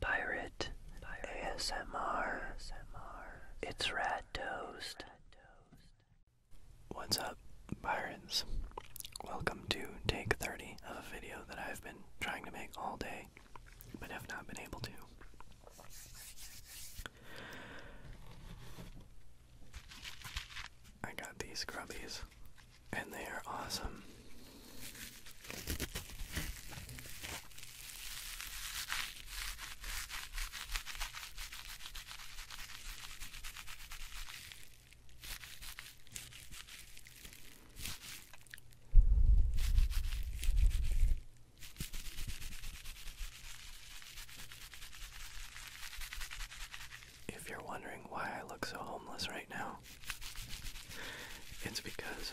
Pirate, Pirate. ASMR. It's Rat Toast. What's up, Byrons? Welcome to take 30 of a video that I've been trying to make all day, but have not been able to. I got these grubbies, and they are awesome. If you're wondering why I look so homeless right now, it's because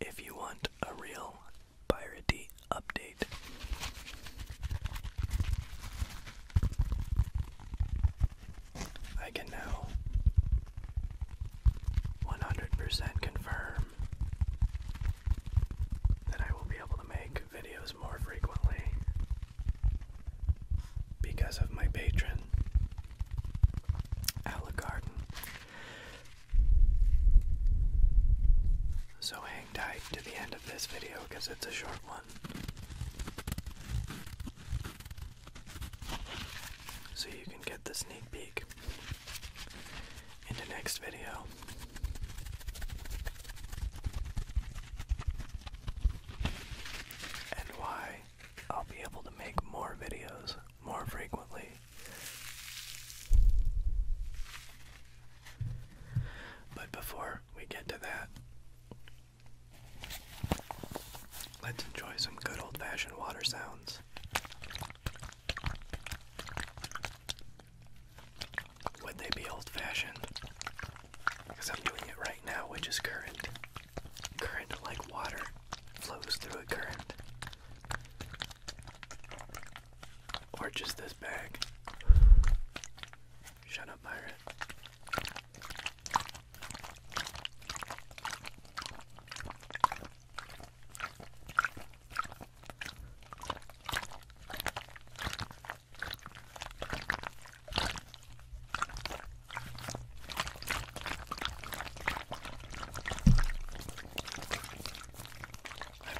If you want a real piratey update, I can now 100% confirm that I will be able to make videos more frequently because of my patron, Garden. So hang tight to the end of this video because it's a short one. So you can get the sneak peek in the next video and why I'll be able to make more videos more frequently. But before we get to that, let's enjoy some good old fashioned water sounds. Would they be old fashioned? because I'm doing it right now, which is current. Current, like water, flows through a current. Or just this bag. Shut up, Myra. I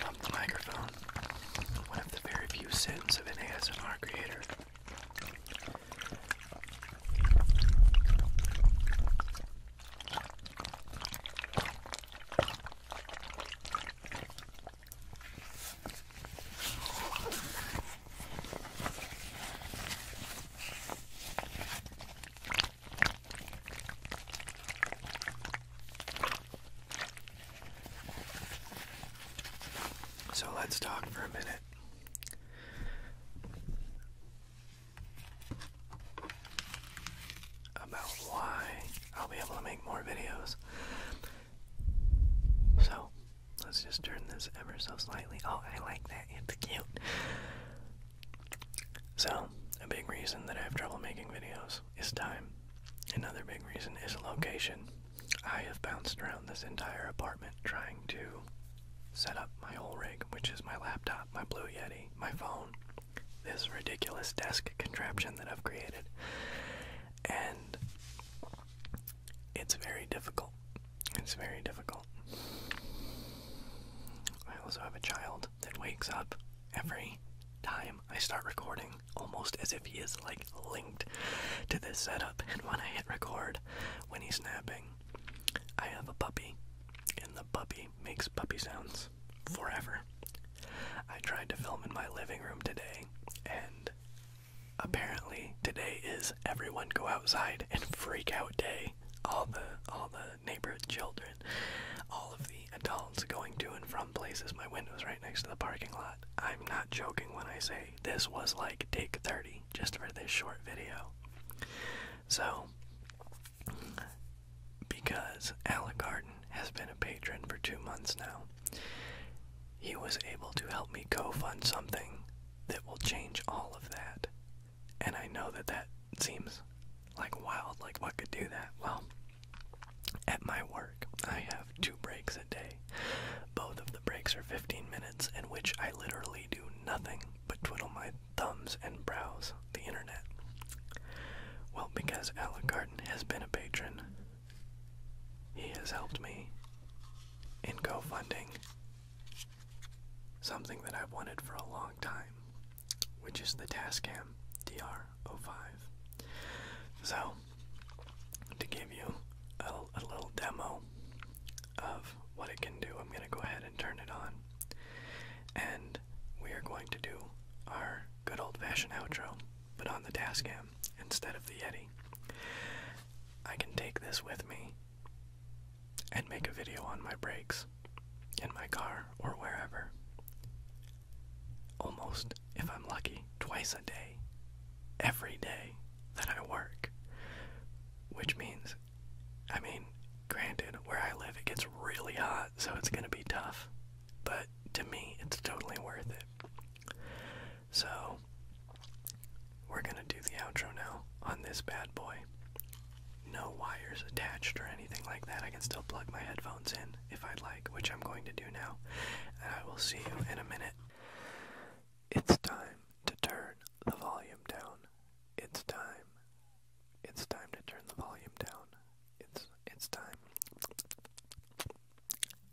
bumped the microphone. One of the very few sins of an ASMR creator. So let's talk for a minute. About why I'll be able to make more videos. So, Let's just turn this ever so slightly. Oh, I like that. It's cute. So, a big reason that I have trouble making videos is time. Another big reason is location. I have bounced around this entire apartment trying to set up my whole rig, which is my laptop, my Blue Yeti, my phone, this ridiculous desk contraption that I've created. And it's very difficult. It's very difficult. I also have a child that wakes up every time I start recording, almost as if he is like linked to this setup. And when I hit record, when he's napping, I have a puppy, and the puppy makes puppy sounds forever. I tried to film in my living room today, and Apparently today is everyone go outside and freak out day. All the all the neighborhood children, all of the adults going to and from places. My window's right next to the parking lot. I'm not joking when I say this was like take 30 just for this short video. So because Alec Garden has been a patron for two months now, he was able to help me co-fund something that will change all of that. And I know that that seems like wild, like what could do that? Well, at my work, I have two breaks a day. Both of the breaks are 15 minutes, in which I literally do nothing but twiddle my thumbs and browse the internet. Well, because Alec Garden has been a patron, he has helped me in GoFunding something that I've wanted for a long time, which is the Tascam DR05. So, to give you a little demo of what it can do, I'm going to go ahead and turn it on. And we are going to do our good old fashioned outro, but on the Tascam instead of the Yeti. I can take this with me and make a video on my breaks in my car or wherever. Almost, if I'm lucky, twice a day, every day that I work. Which means, I mean, granted, where I live it gets really hot, so it's gonna be tough, but to me, it's totally worth it. So, we're gonna do the outro now on this bad boy. No wires attached or anything like that. I can still plug my headphones in if I'd like, which I'm going to do now. And I will see you in a minute. It's time to turn the volume down. It's time. It's time to turn the volume down. It's it's time.